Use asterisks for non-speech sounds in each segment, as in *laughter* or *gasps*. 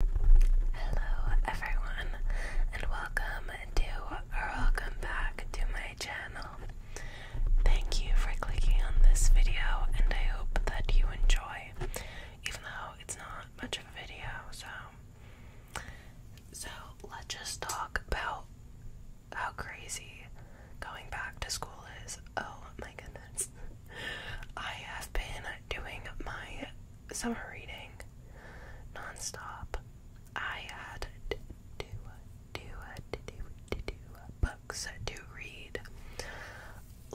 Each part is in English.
Hello everyone and welcome to or welcome back to my channel. Thank you for clicking on this video and I hope that you enjoy even though it's not much of a video so so let's just talk about how crazy going back to school is. Oh my goodness. I have been doing my summer reading nonstop. I had to do, books to read.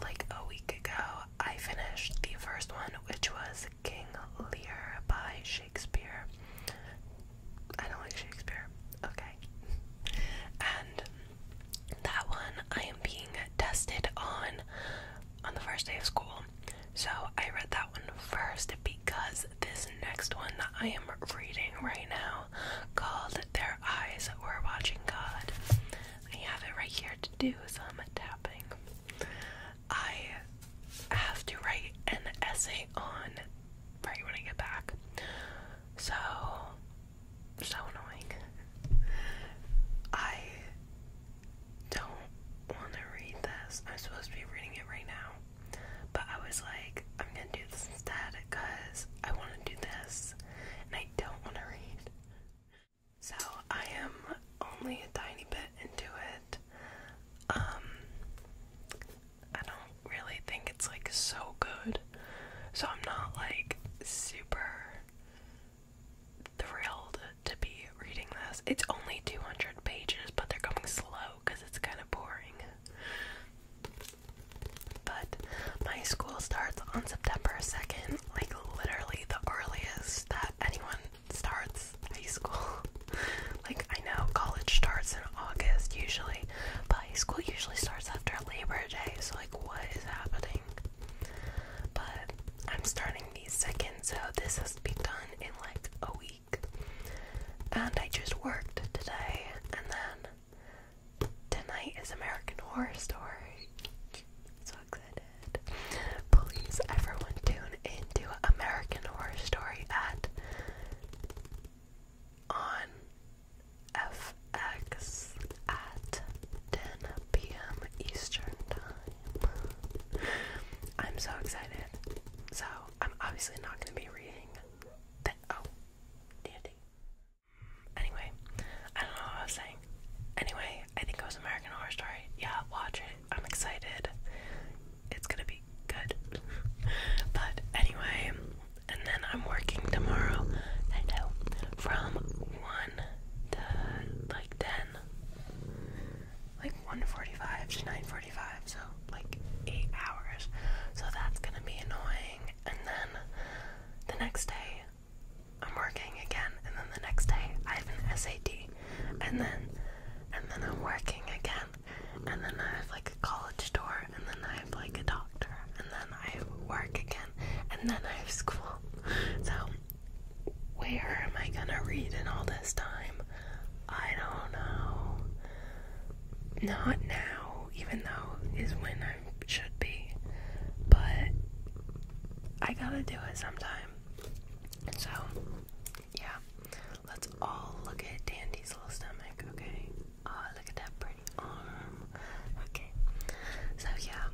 Like a week ago, I finished the first one, which was King Lear by Shakespeare. I don't like Shakespeare. Okay. *laughs* And that one I am being tested on on the first day of school. So I read that one first because this next one that I am reading right now called Their Eyes Were Watching God. I have it right here to do some tapping. I have to write an essay on right when I get back. So so annoying. I don't want to read this. I'm supposed to be reading it right now, but I was like, I'm gonna do this instead because I want to do this and I don't want to read. So I am only a tiny bit into it. Um, I don't really think it's like so good. So I'm not like super thrilled to be reading this. It's only 200 pages, but they're coming slow because it's kind of boring. But my school starts on September 2nd, like literally the earliest that anyone starts high school. *laughs* like, I know college starts in August usually, but. But school usually starts after Labor Day, so like, what is happening? But I'm starting these seconds, so this has to be done in like a week. And I just worked today, and then tonight is American Horror Story. So excited! Please, everyone, tune into American Horror Story at on FX at 10 p.m. Eastern Time. I'm so excited. So, I'm obviously not going to be reading that. Oh, dandy. Anyway, I don't know what I was saying. Anyway, I think it was American Horror Story. Yeah, watch it. I'm excited. It's gonna be good. *laughs* but anyway, and then I'm working tomorrow. I know from one to like ten, like one forty-five to nine forty-five, so like eight hours. So that's gonna be annoying. And then the next day, I'm working again, and then the next day I have an SAT, and then and then I'm working again and then I have like a college tour, and then I have like a doctor, and then I have work again, and then I have school. So, where am I gonna read in all this time? I don't know. Not now, even though is when I should be, but I gotta do it sometime. So, yeah. Let's all look at Dandy's little stomach, okay? Oh, look at that pretty arm. Okay. So, yeah,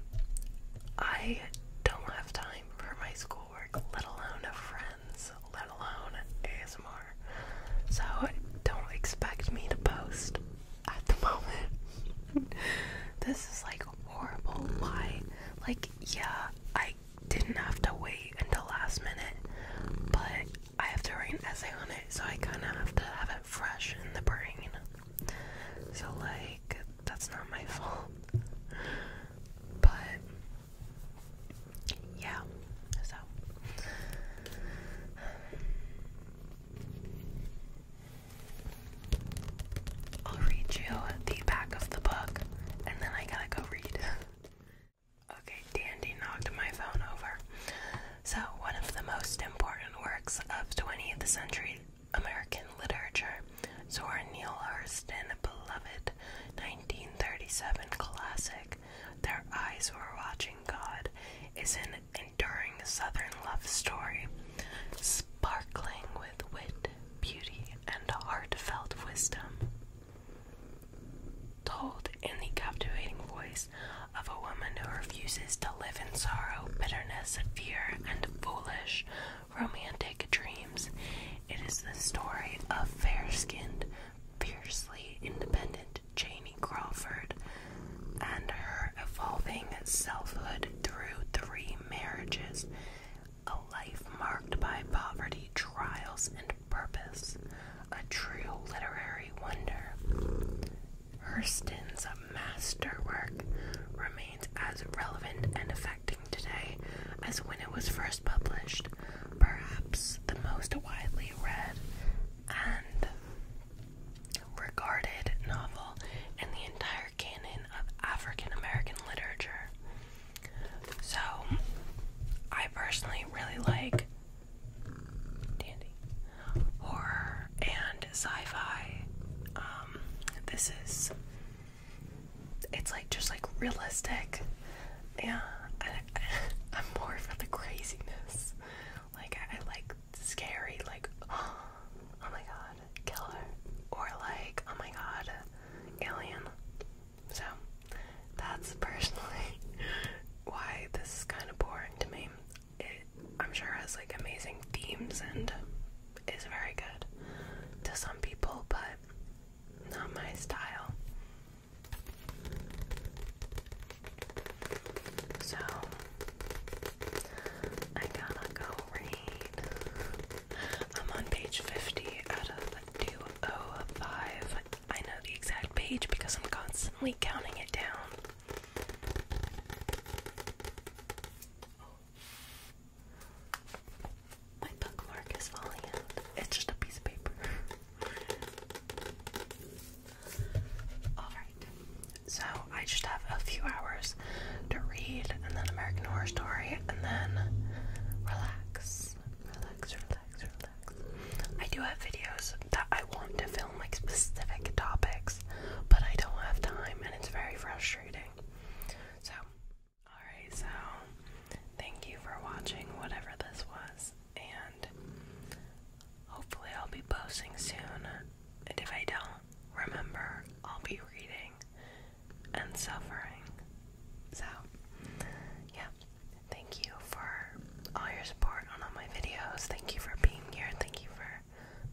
I don't have time for my schoolwork, let alone friends, let alone ASMR. So, don't expect me to post at the *laughs* moment. this is like horrible. Why? Like, yeah, I I didn't have to wait until last minute, but I have to write an essay on it, so I kind of have to have it fresh in the brain. So, like, that's not my fault. But, yeah, so. I'll read you the back of the book, and then I gotta go read. Okay, Dandy knocked my phone over. So, one of the most important works of 20th century American literature, Zora Neale Hurston's beloved 1937 classic, Their Eyes Were Watching God, is an enduring Southern love story, sparkling with wit, beauty, and heartfelt wisdom told in the captivating voice of a woman who refuses to live in sorrow, bitterness, fear, and foolish romantic dreams. It is the story of fair skinned, fiercely independent Janie Crawford and her evolving selfhood through three marriages a life marked by poverty, trials, and purpose, a true literary wonder. Hurston's masterwork remains as relevant and affecting today as when it was first published, perhaps the most widely read and regarded novel in the entire canon of African American literature. So, I personally really like dandy horror and sci-fi. Um, this is it's like just like realistic. Yeah, I, am *laughs* more for the craziness. Like I, like scary, like oh, *gasps* oh my god, killer, or like oh my god, alien. So that's personally *laughs* why this is kind of boring to me. It, I'm sure, has like amazing themes and is very good to some people, but not my style. So I gotta go I'm on page 50 out of 205. I know the exact page because I'm constantly counting it down. My bookmark is falling out. It's just a piece of paper. *laughs* Alright. So I just have a few hours to read and then American Horror Story and then relax. Relax, relax, relax. I do have videos that I want to film like specific topics, but I don't have time and it's very frustrating. So, alright, so thank you for watching whatever this was, and hopefully, I'll be posting soon and if I don't remember, I'll be reading and suffering. So, yeah. Thank you for all your support on all my videos. Thank you for being here. Thank you for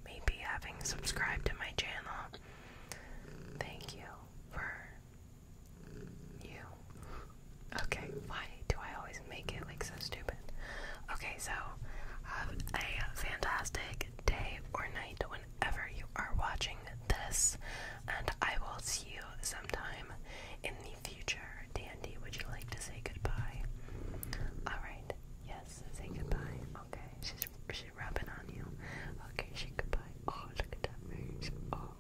maybe having subscribed to my channel. Thank you for you. Okay, why do I always make it like so stupid? Okay, so have a fantastic day or night whenever you are watching this, and I will see you sometime in the future. Dandy, would you like to say goodbye? Alright, yes, say goodbye. Okay, she's, rubbing on you. Okay, she goodbye. Oh, look at that face. Oh,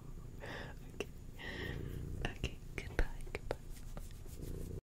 okay. Okay, goodbye, goodbye.